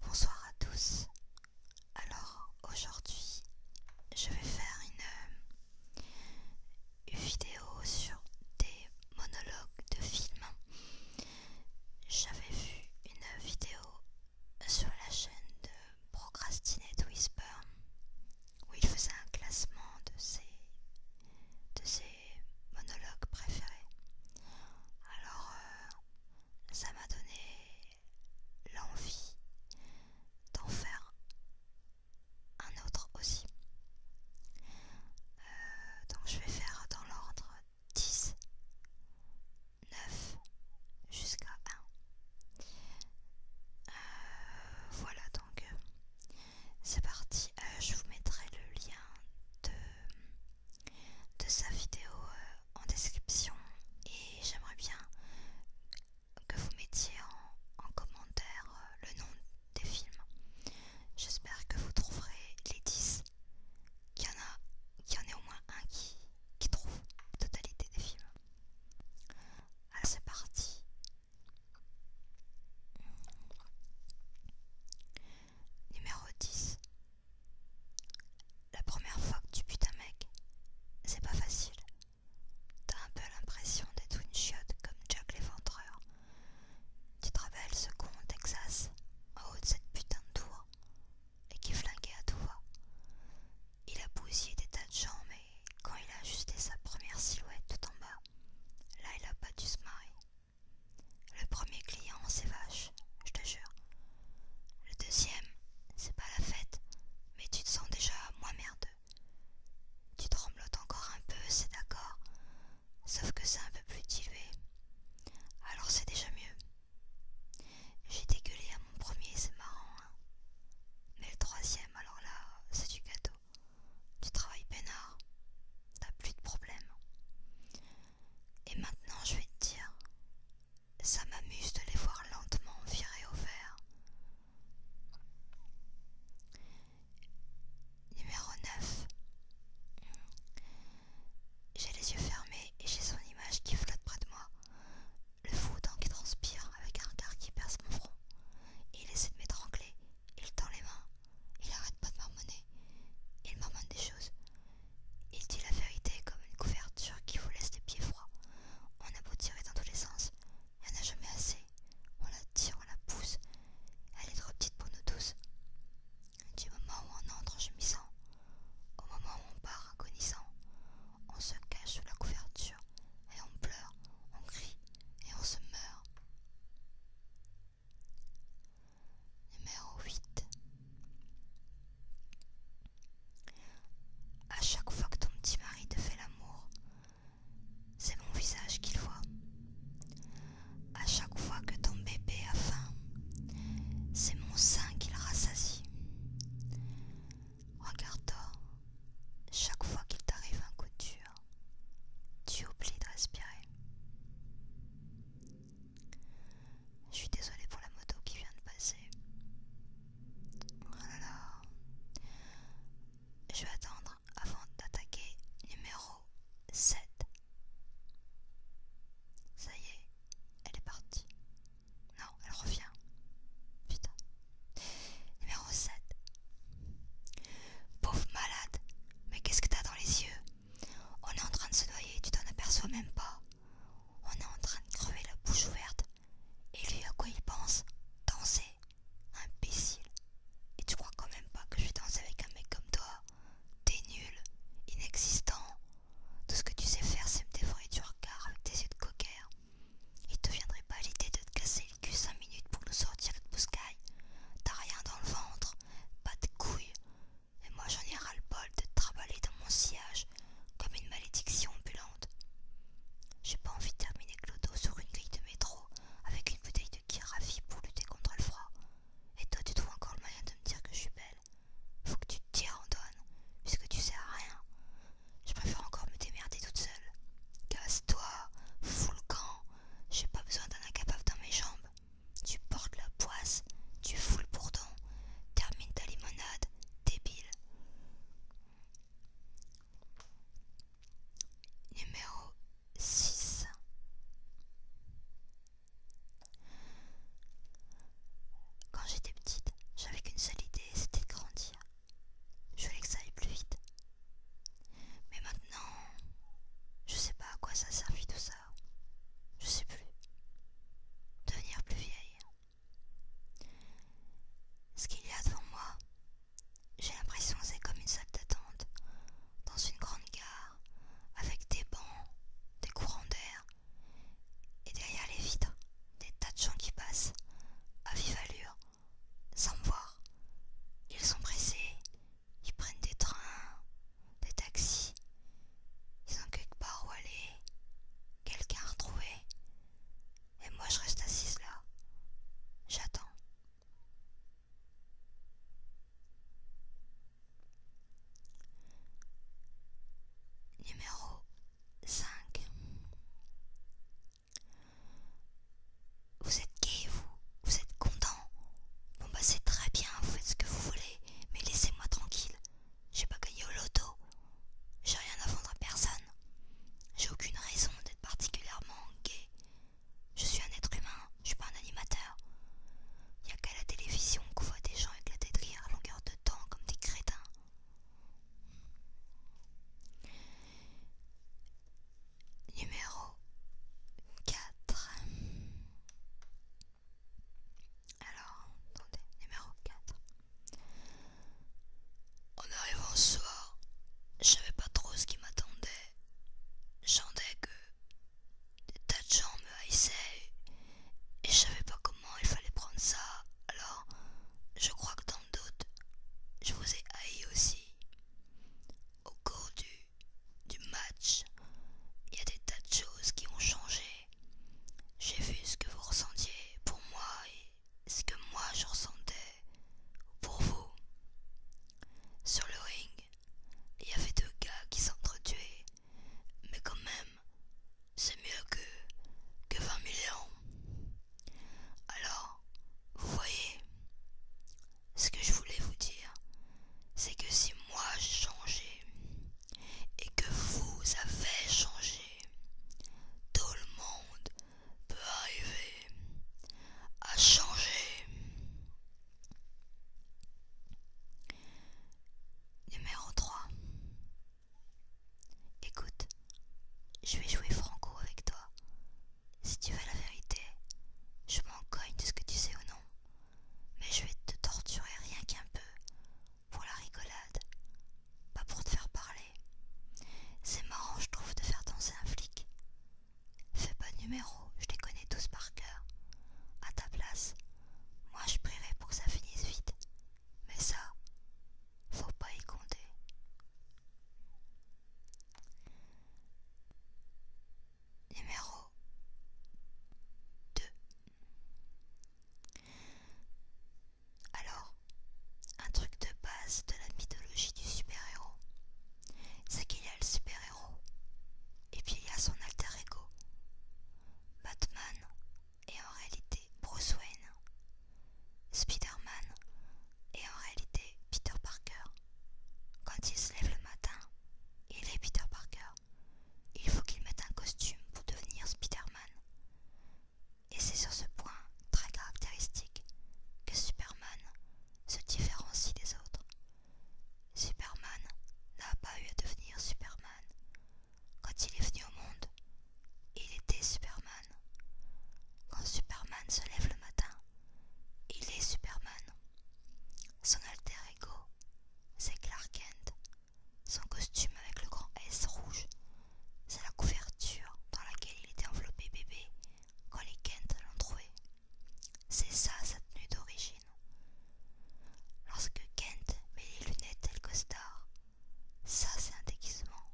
Bonsoir à tous. Alors aujourd'hui, je vais faire une, vidéo sur des monologues de films. J'avais vu une vidéo sur la chaîne de Procrastinate Whisper où il faisait un classement de ses de ses monologues préférés. Alors, euh, ça m'a donné l'envie d'en faire un autre aussi. Euh, donc, je vais faire dans l'ordre 10, 9 jusqu'à 1. Euh, voilà donc. C'est parti, euh, je vous mettrai le lien de, sa vidéo euh, en description et j'aimerais bien que vous mettiez en, commentaire euh, le nom des films. J'espère que vous trouverez les 10, qu'il y, en ait au moins un qui, qui trouve la totalité des films. c'est parti, Numéro 10. La première fois que tu butes un mec, c'est pas facile. T'as un peu l'impression d'être une chiotte comme Jack l'éventreur. Tu te rappelles ce con Texas, en haut de cette putain de tour, et qui flinguait à tout va. Il a bousillé des tas de gens, mais quand il a ajusté sa première silhouette tout en bas, là il a pas dû se marrer. Le premier client, c'est vache, je te jure. Le deuxième, c'est pas la fête, mais tu te sens déjà moins merdeux. Tu tremblotes encore un peu, c'est d'accord, sauf que c'est un peu plus dilué. Alors c'est déjà mieux. J'ai dégueulé à mon premier, c'est marrant, hein. Mais le troisième, alors là, c'est du gâteau tu travailles peinard, t'as plus de problèmes. Et maintenant, je vais te dire, ça m'amuse de les voir lentement virer au vert. Numéro 9. J'ai les yeux fermés et j'ai son image qui flotte près de moi. Le fou qui transpire avec un regard qui perce mon front. Il essaie de m'étrangler, il tend les mains, il arrête pas de marmonner, il marmonne des choses. Il dit la vérité comme une couverture qui vous laisse les pieds froids. On a beau tirer dans tous les sens, il n'y en a jamais assez. On la tire, on la pousse, elle est trop petite pour nous tous. Du moment où on entre en chemisant, au moment où on part agonisant, on se cache sous la couverture, et on pleure, on crie et on se meurt. Numéro 8. À chaque fois que ton petit mari te fait l'amour, c'est mon visage qu'il voit. À chaque fois que ton bébé a faim, c'est mon sein qu'il rassasie. Regarde-toi, chaque fois qu'il t'arrive un coup dur, tu oublies de respirer. Je suis désolée pour la moto qui vient de passer. Je vais attendre avant d'attaquer numéro 7. Ça y est, elle est partie. Non, elle revient. Putain. Numéro 7. Pauvre malade, mais qu'est-ce que t'as dans les yeux On est en train de se noyer, tu t'en aperçois même pas. On est en train de crever la bouche ouverte. Et lui, à quoi il pense Danser. Imbécile. Et tu crois quand même pas que je vais danser avec un mec comme toi T'es nul, inexistant. Tout ce que tu sais faire, c'est me défendre du regard avec tes yeux de coquère. Il te viendrait pas l'idée de te casser le cul cinq minutes pour nous sortir de Bouscaille T'as rien dans le ventre, pas de couilles. Et moi j'en ai ras le bol de te dans mon sillage comme une malédiction ambulante. J'ai pas envie de terminer Clodo sur une grille de métro avec une bouteille de kirafi pour lutter contre le froid. Et toi tu trouves encore le moyen de me dire que je suis belle. Faut que tu te tire en puisque tu sais à rien. Je préfère encore me démerder toute seule. Casse-toi, fous le camp. J'ai pas besoin d'un incapable dans mes jambes. Tu portes la poisse, tu fous le bourdon. Termine ta limonade, débile. Numéro 6 quand j'étais petite, j'avais qu'une seule idée, c'était de grandir. Je voulais que ça aille plus vite. Mais maintenant, je sais pas à quoi ça servit tout ça. Je sais plus. Devenir plus vieille. Ce qu'il y a devant moi, j'ai l'impression que c'est comme une salle d'attente, dans une grande gare, avec des bancs, des courants d'air, et derrière les vitres, des tas de gens qui passent, à vive allure, sans me voir. Ils sont pressés, ils prennent des trains, des taxis, ils ont quelque part où aller, quelqu'un à retrouver. Et moi je reste assise là, j'attends. Numéro 5. Vous êtes gay, vous Vous êtes content Bon bah c'est très bien, vous faites ce que vous voulez, mais laissez-moi tranquille. J'ai pas gagné au loto. J'ai rien à vendre à personne. J'ai aucune raison d'être particulièrement gay. Je suis un être humain, je suis pas un animateur. Y a qu'à la télévision qu'on voit des gens éclater de rire à longueur de temps comme des crétins. Numéro 4. Alors, attendez, numéro 4. En arrivant au soir, je savais pas trop ce qui m'attendait. J'entendais que des tas de gens me haïssaient et je savais pas comment il fallait prendre ça, alors je crois que dans d'autres, je vous ai haï aussi. Au cours du, du match, il y a des tas de choses qui ont changé. J'ai vu ce que vous ressentiez pour moi et ce que moi je ressentais pour vous. Sur le ring, il y avait deux gars qui s'entretuaient mais quand même, c'est mieux que, que 20 millions. Alors, vous voyez, ce que je voulais vous dire, c'est que si moi j'ai changé et que vous avez changé, tout le monde peut arriver à changer. Numéro 3. Écoute, je vais jouer franco avec toi. Si tu veux la vérité, je m'en cogne de ce que tu sais ou non. Mais je vais te torturer rien qu'un peu, pour la rigolade, pas pour te faire parler. C'est marrant, je trouve, de faire danser un flic. Fais pas de numéro, je les connais tous par cœur. À ta place, moi je prierai pour que ça finisse vite. Mais ça, faut pas y compter. Numéro 2 Alors, un truc de base de la mythologie du super-héros, c'est qu'il y a le super et puis, il y a son alter ego. Batman est en réalité Bruce Wayne. Spider-Man est en réalité Peter Parker. Quand il se lève le matin, il est Peter Parker. Il faut qu'il mette un costume pour devenir Spider-Man. Et c'est sur ce point très caractéristique que Superman se différencie des autres. Superman n'a pas eu à devenir Superman. Quand il est venu au monde, il était Superman. Quand Superman se lève le matin, il est Superman. Son alter ego, c'est Clark Kent. Son costume avec le grand S rouge, c'est la couverture dans laquelle il était enveloppé bébé quand les Kent l'ont trouvé. C'est ça sa tenue d'origine. Lorsque Kent met les lunettes et le costard, ça c'est un déguisement.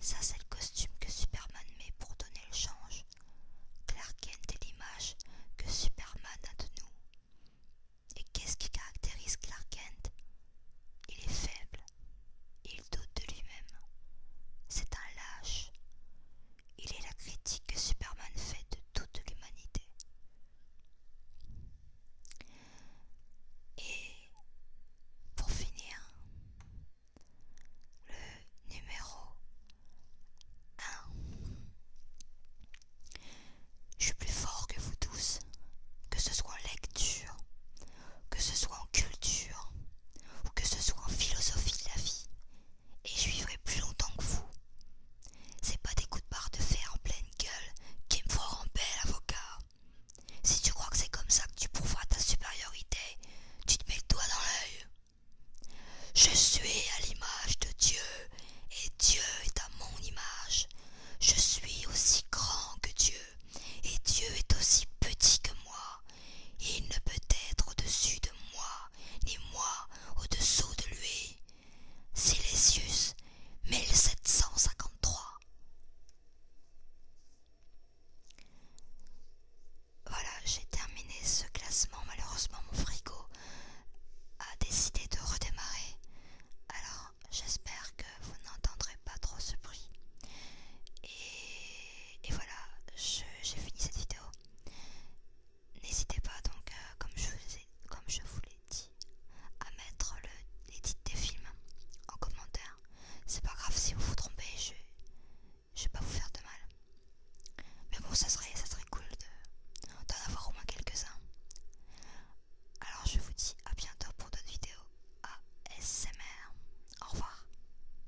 Ça c'est le costume que Superman met pour donner le change. Clark Kent est l'image que Superman a de nous. Et qu'est-ce qui caractérise Clark Kent Il est faible. Il doute de lui-même. C'est un lâche. Il est la critique que Superman fait de toute l'humanité. Et pour finir, le numéro 1. Je suis plus fort que vous tous, que ce soit en lecture, que ce soit en culture, ou que ce soit en philosophie de la vie et je vivrai plus longtemps que vous. C'est pas des coups de barre de fer en pleine gueule qui me feront bel avocat. Si tu crois que c'est comme ça que tu prouveras ta supériorité, tu te mets le doigt dans l'œil. Je suis à l'image de Dieu, et Dieu est à mon image. Je suis aussi grand que Dieu, et Dieu est aussi petit que moi il ne peut être au-dessus de moi, ni moi au-dessous de lui. Silesius, 1753. Voilà, j'ai terminé ce classement. Malheureusement, mon frigo a décidé de redémarrer. Alors, j'espère que vous n'entendrez pas trop ce bruit. et voilà, j'ai fini cette vidéo. N'hésitez pas donc, euh, comme je vous l'ai dit, à mettre l'édit des films en commentaire. C'est pas grave si vous vous trompez, je, ne vais pas vous faire de mal. Mais bon, ça serait, ça serait cool d'en avoir au moins quelques-uns. Alors je vous dis à bientôt pour d'autres vidéos ASMR. Au revoir.